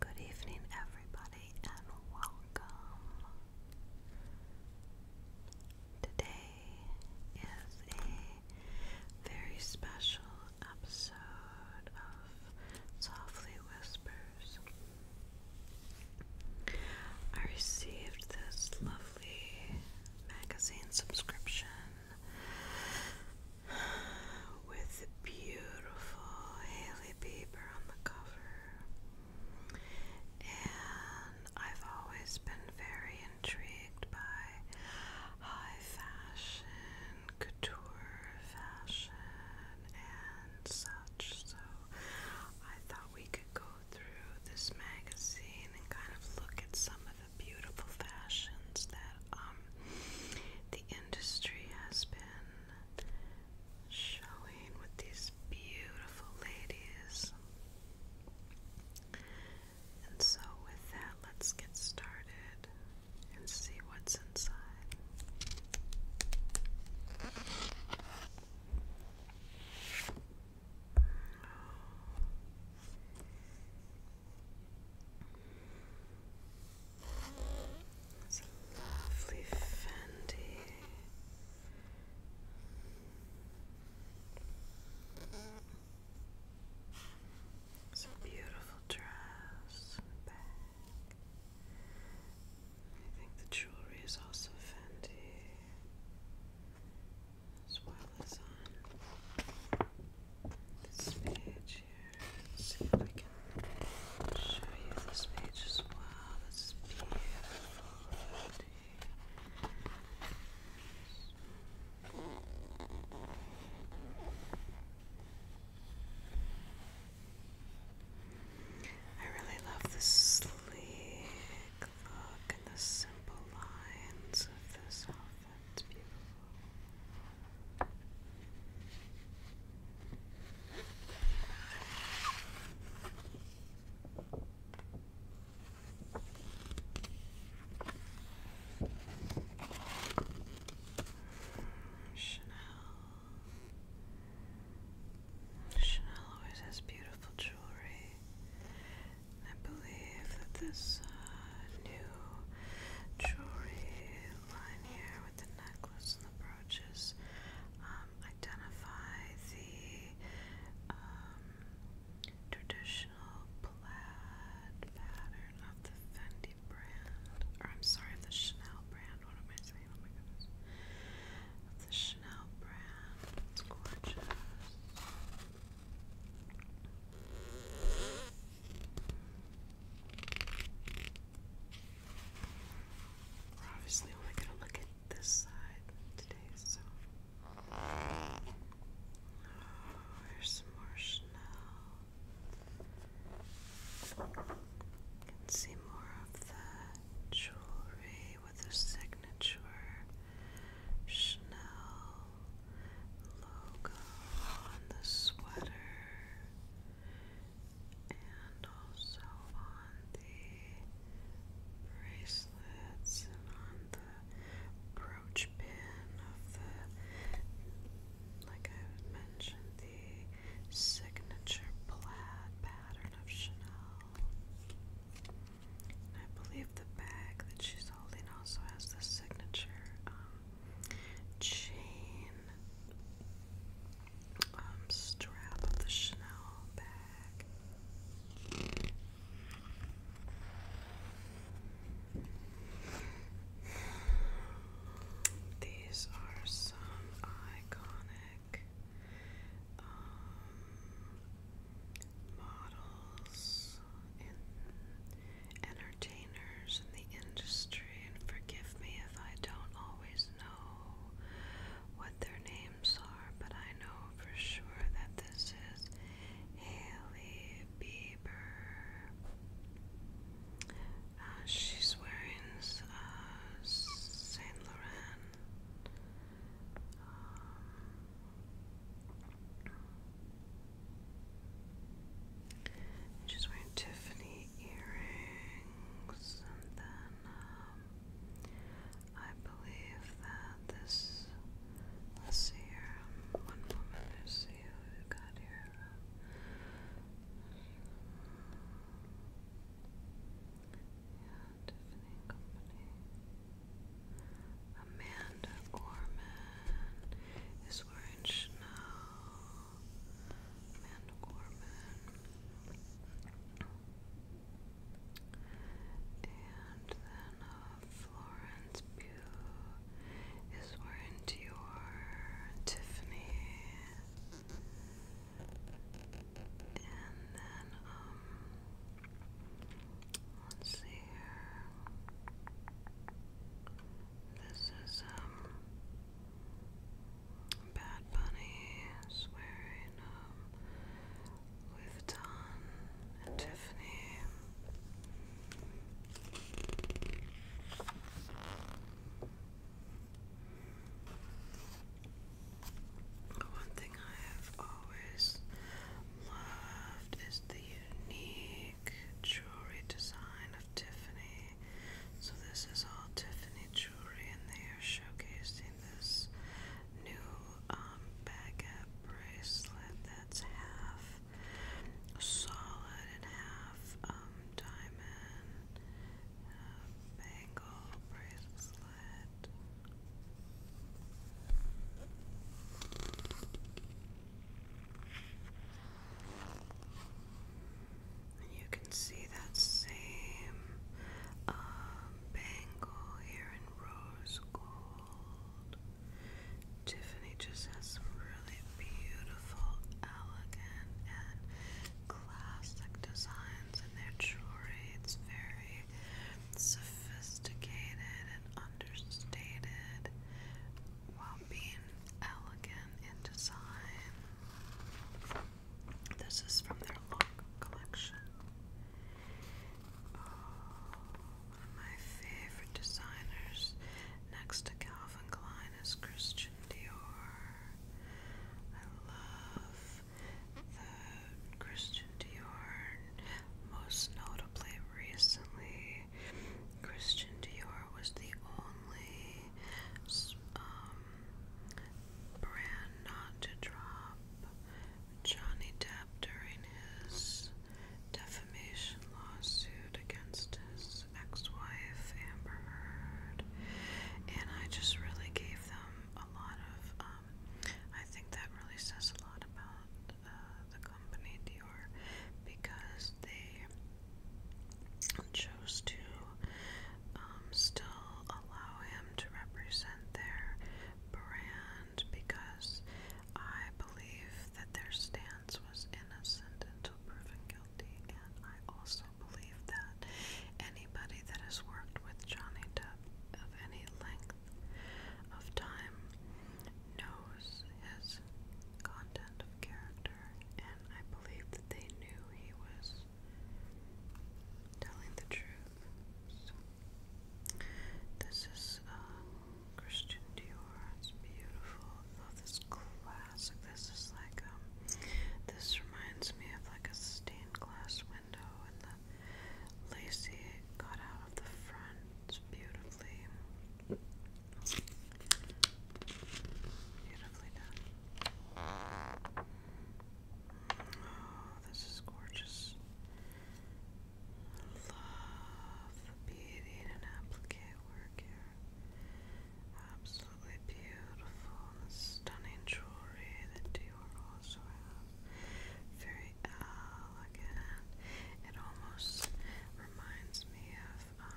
Good evening, everybody, and welcome. Today is a very special episode of Softly Whispers. I received this lovely magazine subscription with the beautiful Haley Bieber on the cover. And I've always been very intrigued by high fashion, couture fashion, and such. So I thought we could go through this magazine and kind of look at some of the beautiful fashions that um the industry has been showing with these beautiful ladies. And so, with that, let's get started and see what's inside. It's a lovely Fendi. It's a beautiful dress bag. I think the jewelry is also Fendi as well as on this page share and see if I can show you this page I really love the sleek look and the simple lines of this outfit. That's beautiful. Chanel. Chanel always has beautiful jewelry. I believe that this uh, new jewelry line here with the necklace and the brooches. Um, identify the um, traditional plaid pattern of the Fendi brand, or I'm sorry, of the Chanel brand. What am I saying? Oh my goodness. the Chanel brand. It's gorgeous. We're obviously only gonna look at this side today, so oh, there's some more You can see more of the jewelry with the signature Chanel logo on the sweater and also on the bracelets and on the brooch pin of the, like I mentioned, the signature plaid pattern of Chanel. I believe the bag that she's holding also has the signature um, chain um, strap of the Chanel bag. These are some iconic um, models in, and entertainers in the industry, and forgive me if I don't always know what their names are, but I know for sure that this is Haley Bieber. Uh, she's wearing uh, Saint Laurent. Um, She's wearing Tiffany earrings, and then um, I believe that this. Let's see here. one moment. Let's see who we got here. Yeah, Tiffany Company. Amanda Gorman is wearing Chanel. Amanda Corbin. And then uh, Florence Pugh is wearing Dior, Tiffany. And then, um, let's see here. This is um Bad Bunny swearing um Louis Vuitton and Tiffany. One thing I have always loved is the unique jewelry design Tiffany. So this is all Tiffany jewelry, and they are showcasing this new um, baguette bracelet that's half solid and half um, diamond bangle bracelet. And you can see that same um, bangle here in rose gold. Tiffany just has really beautiful, elegant, and classic designs in their jewelry. It's very sophisticated and understated while being elegant in design. This is from their look collection. Oh, one of my favorite designers next to Calvin Klein is Christian Dior. I love the Christian Dior, most notably recently Christian Dior was the only um, brand not to drop Johnny Depp during his defamation lawsuit against his ex-wife Amber Heard, and I just really gave them a lot of. Um, I think that really says a lot about uh, the company Dior because they chose to um, still allow him to represent their brand because I believe that their stance was innocent until proven guilty, and I also believe that anybody that has worked with Johnny Depp of any length of time knows his content of character, and I believe that they knew he was telling the truth. this is uh, Christian Dior. It's beautiful. this classic. This is like um, This reminds me of like a stained glass window, and the lacy cut out of the front beautifully. Beautifully done. Oh, this is gorgeous. I love the beauty and applique work here. Absolutely beautiful. The stunning jewelry that you also has. Very elegant. It almost reminds me of of um,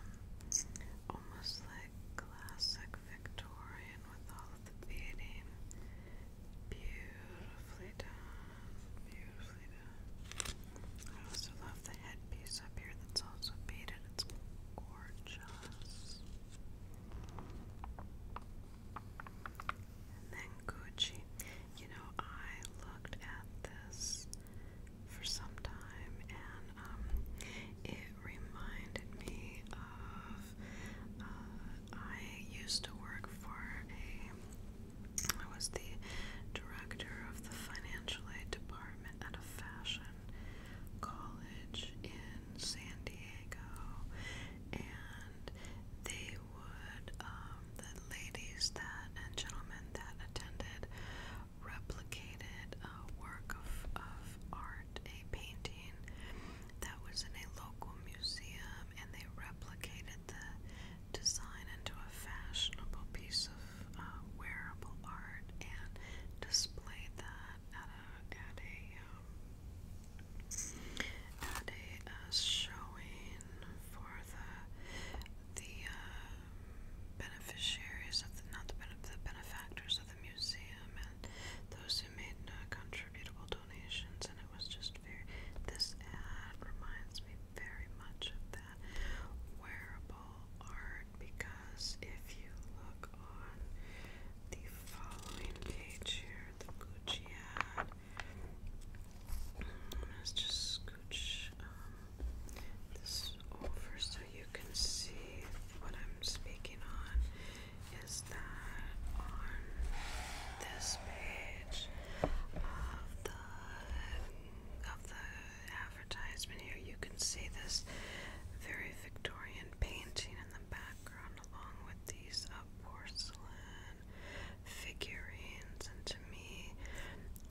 almost like classic Victorian with all the beading. Beautifully done. Beautifully done. I also love the headpiece up here that's also beaded. It's gorgeous. And then Gucci. You know, I looked at this for some time, and um, it reminded me of uh, I used to work for a I was the director of the financial aid department at a fashion college in San Diego, and they would um, the ladies that and gentlemen that attended replicated a work of, of art, a painting that was in a local museum, and they replicated the design into a fashionable piece of uh, wearable art and displayed that at a at a um, uh, showing for the the uh, beneficiaries of the, not the, benefactors of the museum and those who made uh, contributable donations, and it was just very. This ad reminds me very much of that wearable art because if you look on the following page here, the Gucci ad. Let's just scooch um, this over so you can see what I'm speaking on is that on this page of the of the advertisement here you can see this very Victorian painting in the background along with these porcelain figurines and to me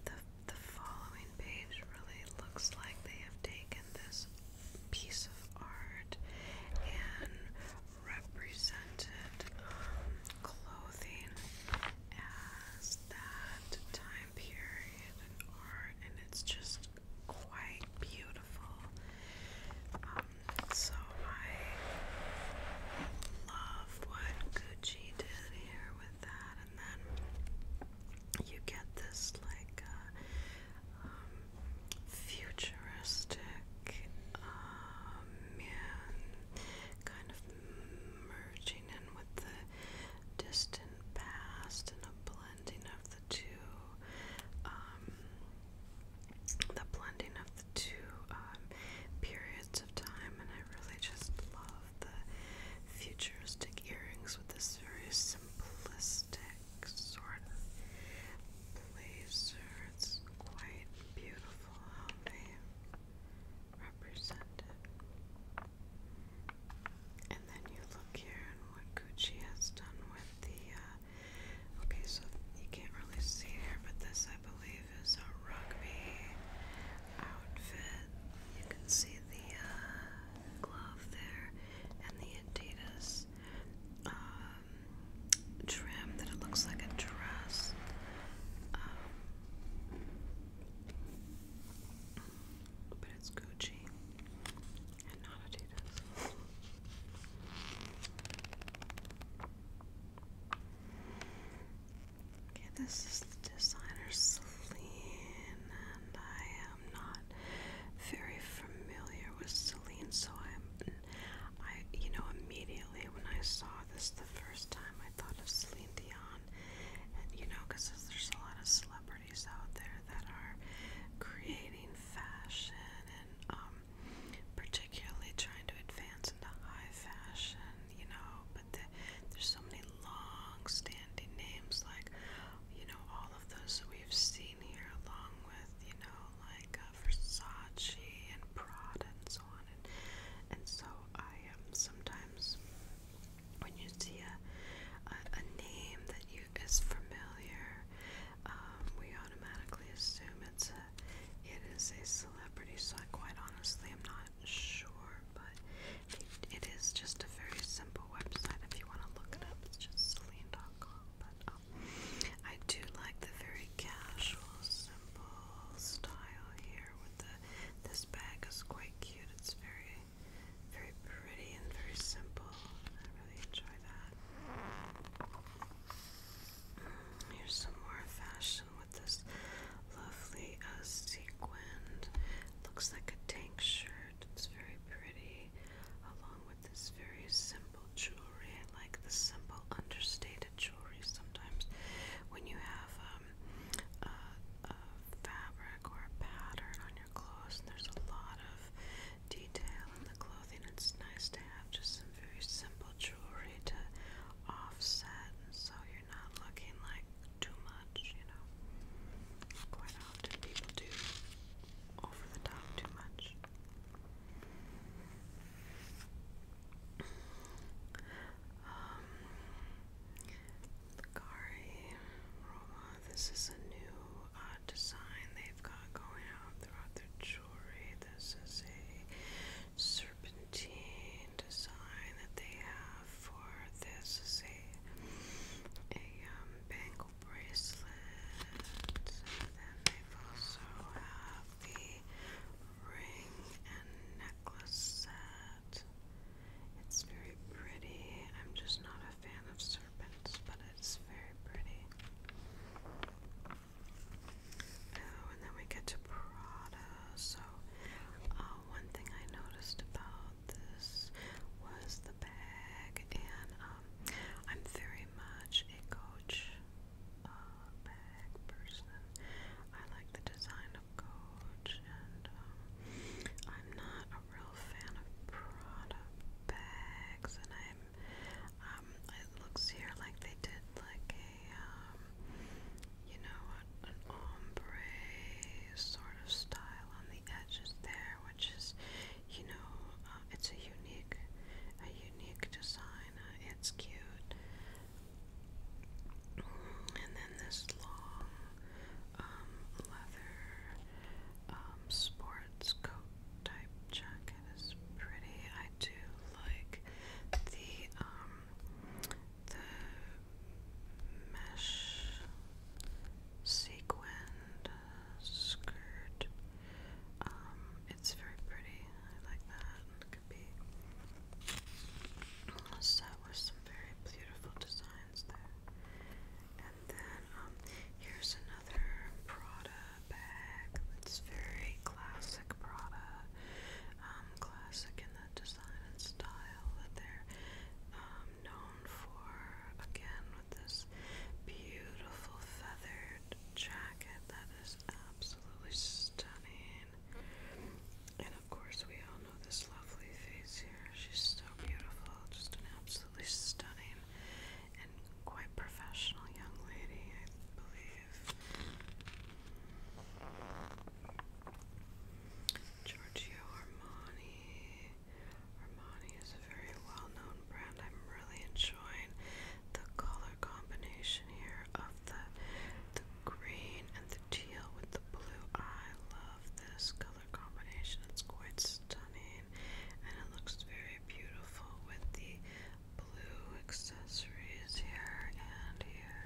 the the following page really looks like they have taken this piece of art and represented um, clothing as that time period art, and it's just quite beautiful. Um, so I love what Gucci did here with that then you get this like uh, um, futuristic um, kind of merging in with the distant past and a blending of the two. Um, the blending of the two periods of time, and I really just love the futuristic earrings with this very simplistic sort of blazer. It's quite beautiful how they represent it. And then you look here and what Gucci has done with the, uh, okay, so you can't really see here, but this I believe is a rugby outfit. You can see the uh, glove there and the Adidas um, trim that it looks like a dress. Um, but it's Gucci and not Adidas. Okay, this is the designer Celine, and I am not very familiar with Celine, so I'm, I, you know, immediately when I saw this the first time, I thought of Celine Dion, and you know, because there's a lot of celebrities out there that are creating fashion and um, particularly trying to advance into high fashion, you know, there's so many long-standing names like you know all of those that we've seen here, along with you know like uh, Versace and Prada and so on. And and so I am um, sometimes when you see a a, name that you is familiar, um, we automatically assume it's a it is a celebrity. So I quite honestly, I'm not sure, but it is just a very simple website if you want to look it up. It's just Celine.com. But um, I do like the very casual, simple style here. With the this bag is quite cute. It's very, very pretty and very simple. I really enjoy that. Mm, here's some more fashion section with this lovely uh, sequined, looks like a tank shirt. It's very pretty, along with this very simple jewelry. I like the simple, understated jewelry sometimes when you have um, a, a fabric or a pattern on your clothes, and there's a lot of detail in the clothing. It's nice to have just some very simple jewelry to offset, and so you're not looking like too much, you know. Quite often people do over the top too much. Um, Roma, this is a new uh, design they've got going out throughout their jewelry. This is a serpentine design that they have for this is a, a um, bangle bracelet. And then they also have the ring and necklace set. It's very pretty. I'm just not a fan of serpents, but it's very pretty. Oh, and then we get to Prada also uh, one thing I noticed about this was the bag and um, I'm very much a coach uh, bag person. I like the design of coach and um, I'm not a real fan of Prada bags and I'm um, it looks here like they did like a um, you know, an ombre sort of style on the edges there, which is, you know, uh, it's a unique, a unique design. Uh, it's cute. And then this long um, leather um, sports coat type jacket is pretty. I do like the the mesh sequined skirt. Um, it's very pretty. I like that. It could be set with some very beautiful designs And then um, here's another Prada bag. It's very classic Prada. Um, classic in the design and style that they're um, known for. Again, with this beautiful feathered jacket that is absolutely stunning. And of course, we all know this lovely face here. She's so beautiful, just an absolutely stunning and quite professional young lady, I believe. Giorgio Armani. Armani is a very well-known brand. I'm really enjoying the color combination here of the the green and the teal with the blue. I love this color combination. It's quite stunning and it looks very beautiful with the blue accessories here and here.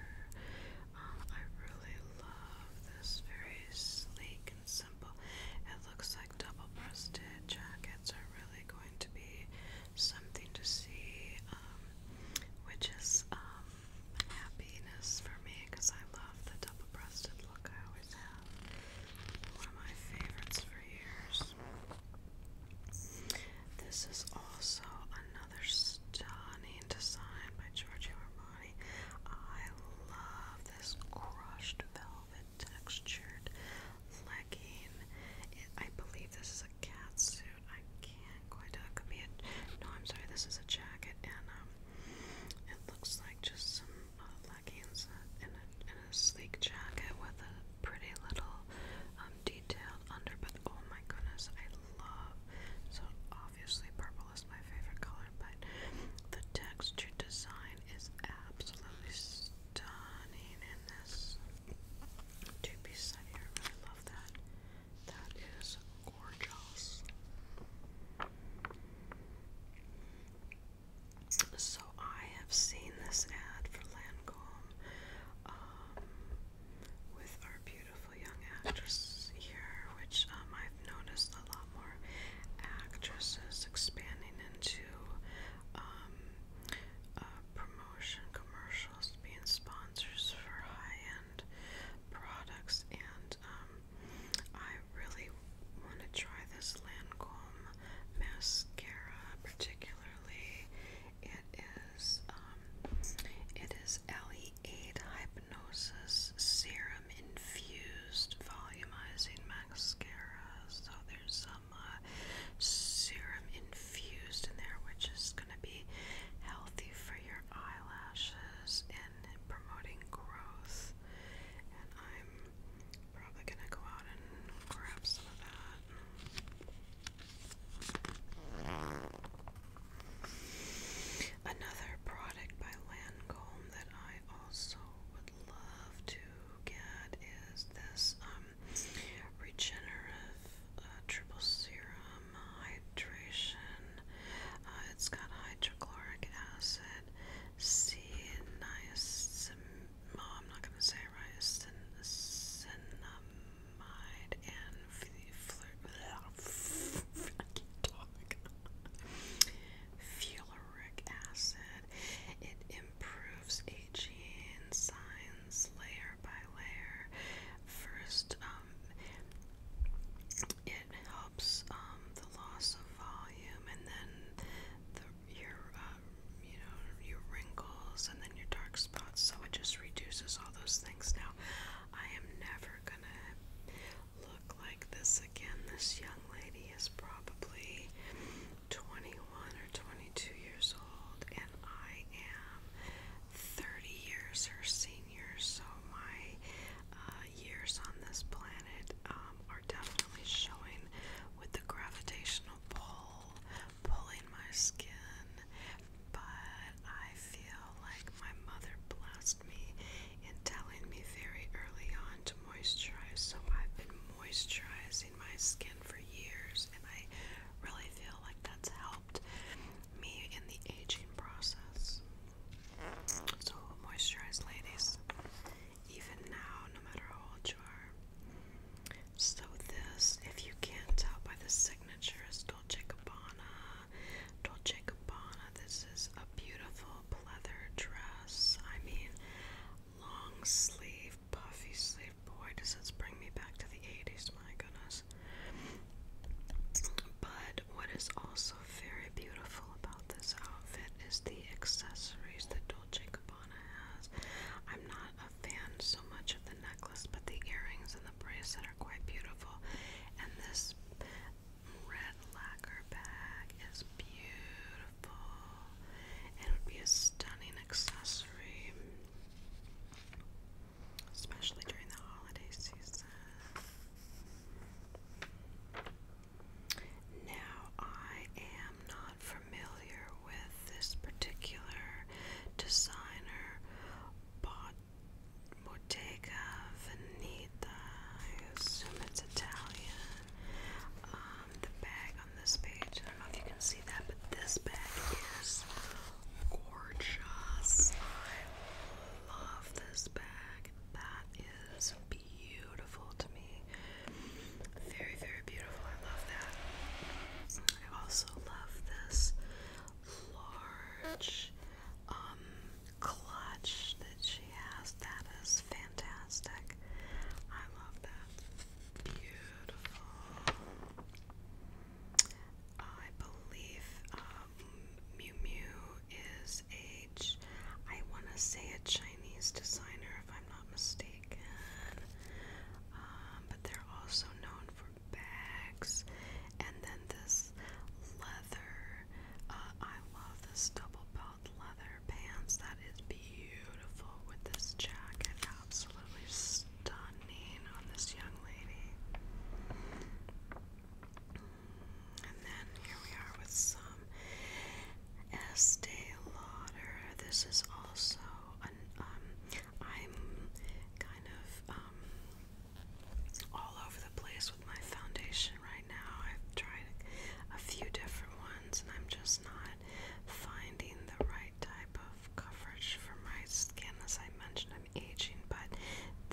I really love this very sleek and simple. It looks like double-breasted jackets are really going to be something to see, um, which is um, happiness for me because I love the double-breasted look I always have. One of my favorites for years. This is also another stunning Queen designed by Giorgio Armani. I love this crushed velvet textured legging. I believe this is a cat suit. I can't quite tell. Uh, it could be a. No, I'm sorry. This is a jacket, and um, it looks like just some uh, leggings and uh, a, and a sleek jacket with a pretty little um, under, but oh my goodness, I love. So obviously purple is my favorite color, but the texture design is absolutely stunning in this two set here. I love that. That is gorgeous. So I have seen this ad for Lancome. Um, with our beautiful young actress here, which um, I've noticed a lot more actresses expanding into um, uh, promotion commercials, being sponsors for high-end products, and um, I really want to try this Lancome mascara particularly it is um, it is LE eight hypnosis serum infused volumizing mascara. So there's some uh, serum infused in there, which is going to be healthy for your eyelashes and promoting growth. And I'm probably gonna go out and grab some of that. Another product by Lancome that I also would love to get is this um, regenerative uh, triple serum hydration. Uh, it's got hydrochloric acid, C niacin. I'm not gonna say it Mind and flirt. acid. It improves aging signs layer by layer. First, um, it helps um, the loss of volume, and then your um, you know your wrinkles, and then your dark spots. So it just reduces all those things. Now, I am never gonna look like this again. This young lady is probably 21 or 22 years old, and I am 30 years her senior, so my uh, years on this planet um, are definitely showing with the gravitational pull pulling my skin but I feel like my mother blessed me in telling me very early on to moisturize, so I've been moisturizing my skin for years, and I really feel like that's helped me in the aging process. So, moisturize, ladies, even now, no matter how old you are. So, this, if you can't tell by the signature, is is Dolce Gabbana. Dolce Gabbana, this is a beautiful leather dress. I mean, long sleeve, puffy sleeve. Boy, does this bring me back to the 80s, my goodness. But what is also very beautiful about this outfit is the accessories that Dolce Gabbana has. I'm not a fan so much of the necklace but the earrings and the bracelet are quite beautiful. And this red lacquer bag is beautiful. It would be a stunning accessory, especially during the holiday season. Now, I am not familiar with this particular designer, but Bottega Veneta. I assume it's Italian. Um, the bag on this page, I don't know if you can see that, but this bag is gorgeous. I love this bag. That is beautiful to me. Very, very beautiful. I love that. I also love this large um, clutch that she has. That is fantastic. I love that. Beautiful. I believe um, Miu Miu is a, I want to say a Chinese designer if I'm not mistaken. Um, but they're also known bags, and then this leather. Uh, I love this double belt leather pants. That is beautiful with this jacket. Absolutely stunning on this young lady. And then here we are with some Estee Lauder. This is also an um, I'm kind of um, all over the place with my foundation right now. I've tried a few different ones, and I'm just not finding the right type of coverage for my skin. As I mentioned, I'm aging, but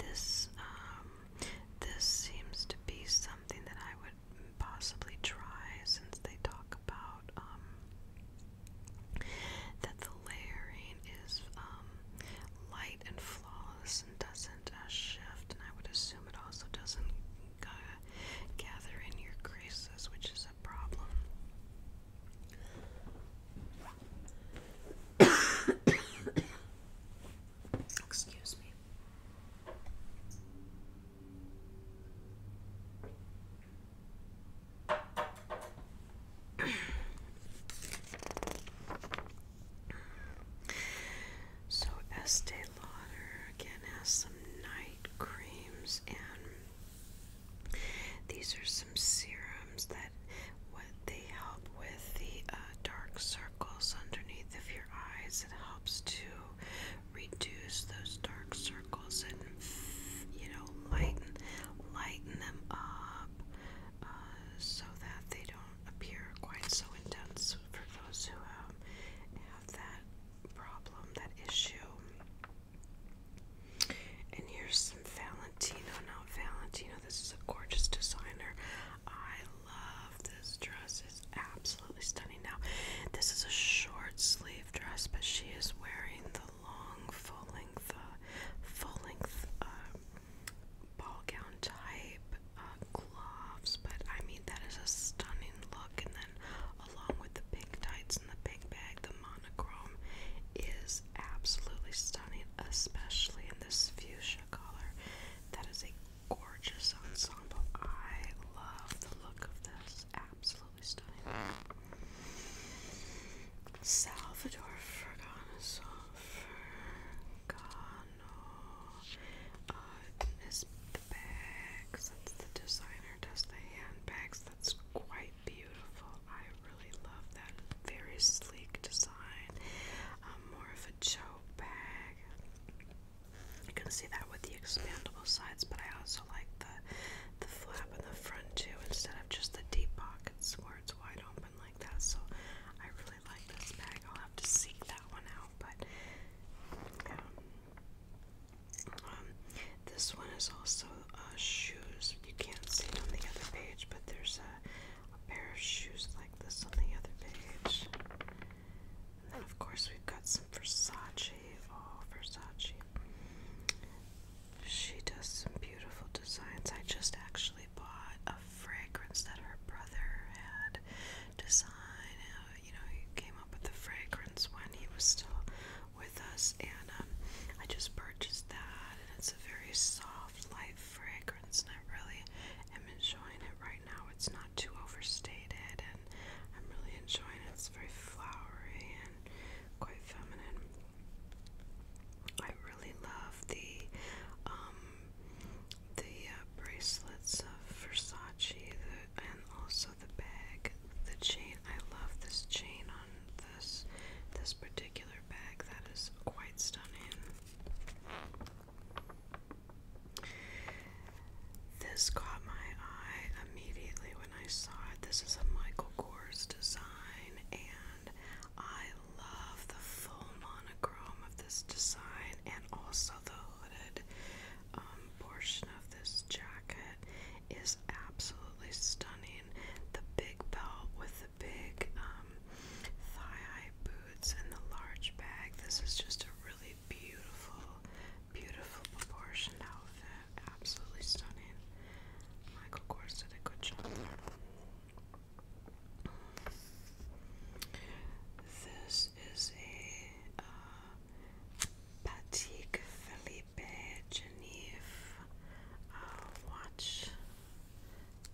this um, this seems to be something that I would possibly try since they talk about um, that the layering is um, light and flawless and doesn't uh, shift, and I would assume it also doesn't gather in your creases, which is a problem. Excuse me. So Estee Lauder again has some night creams and these are some serums that what they help with the uh, dark circles underneath of your eyes. It helps to reduce those dark circles and you know lighten lighten them up uh, so that they don't appear quite so intense for those who um, have that problem, that issue. And here's some Valentino, Now, Valentino. This is a gorgeous designer. I love this dress. It's absolutely stunning. Now, this is a short sleeve dress, but she is wearing the long full length, uh, full length um, ball gown type uh, gloves, but I mean that is a stunning look. And then along with the pink tights and the pink bag, the monochrome is absolutely stunning, especially in this fuchsia color. That is a gorgeous ensemble. I love the look of this. Absolutely stunning. Salvador Fergano, Fergano uh, is the That's the designer. Does the handbags? That's quite beautiful. I really love that. Very sleek design. Um, more of a choke bag. You can see that with the expandable sides, but I also like the the flap in the front too instead of just the deep pockets where it's wide open like that. So I really like this bag. I'll have to seek that one out, but um, um this one is also shoes. You can't see it on the other page, but there's a, a pair of shoes like this on the other page. And then, of course, we've got some Versace. Oh, Versace. She does some beautiful designs. I just actually bought a fragrance that her brother had designed. Uh, you know, he came up with the fragrance when he was still with us, and um, I just purchased that. And it's a very soft, light fragrance, and I really am enjoying it right now. It's not too overstated, and I'm really enjoying it. It's very flowery and quite feminine. I really love the um, the uh, bracelets of Versace and also the bag, the chain. I love this chain on this this particular bag. That is quite stunning. This caught my eye immediately when I saw it. This is a Michael Kors design and I love the full monochrome of this design and also the hooded um, portion of this jacket is absolutely stunning. The big belt with the big um, thigh-high boots and the large bag. This is just a really beautiful, beautiful proportioned outfit absolutely stunning. Michael Kors did a good job This is a uh, Patek Philippe Genève watch.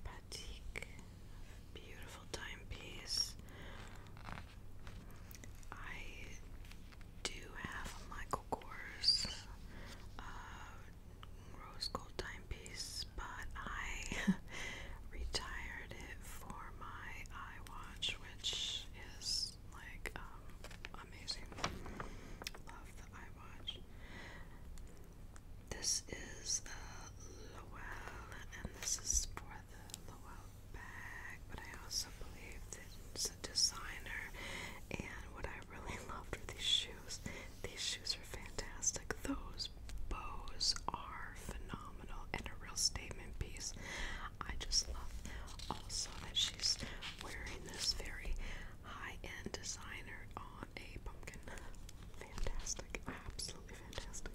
Patek, beautiful timepiece. I do have a Michael Kors uh, rose gold timepiece, but I retired it for my iWatch, which is like um, amazing. Love the iWatch. This is the Lowell, and this is for the Lowell bag, but I also believe that it's a designer. And what I really loved with these shoes. These shoes are fantastic. Those bows are phenomenal and a real statement piece. I just love also that she's wearing this very high-end designer on a pumpkin. Fantastic. Absolutely fantastic.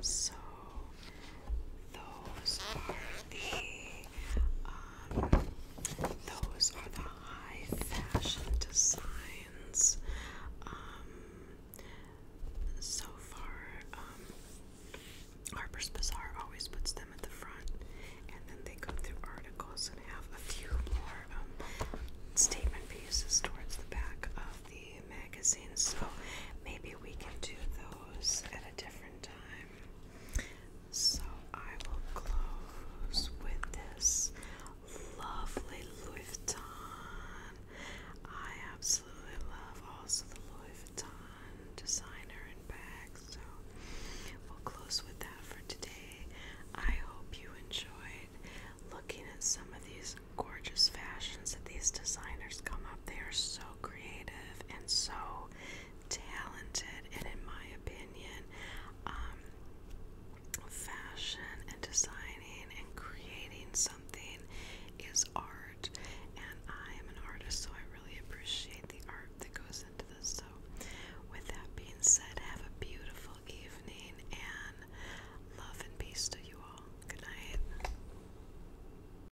So those are the um, those are the high fashion designs. Um, so far, um, Harper's Bazaar always puts them at the front, and then they go through articles and have a few more um, statement pieces towards the back of the magazine. So maybe we can do those at a different time. So I will close with this lovely Louis Vuitton. I absolutely love also the Louis Vuitton designer and bags. So we'll close with that for today. I hope you enjoyed looking at some of these gorgeous fashions that these designers come up. They are so creative and so talented, and in my opinion, um, fashion and designing and creating something is art. And I am an artist, so I really appreciate the art that goes into this. So, with that being said, have a beautiful evening and love and peace to you all. Good night.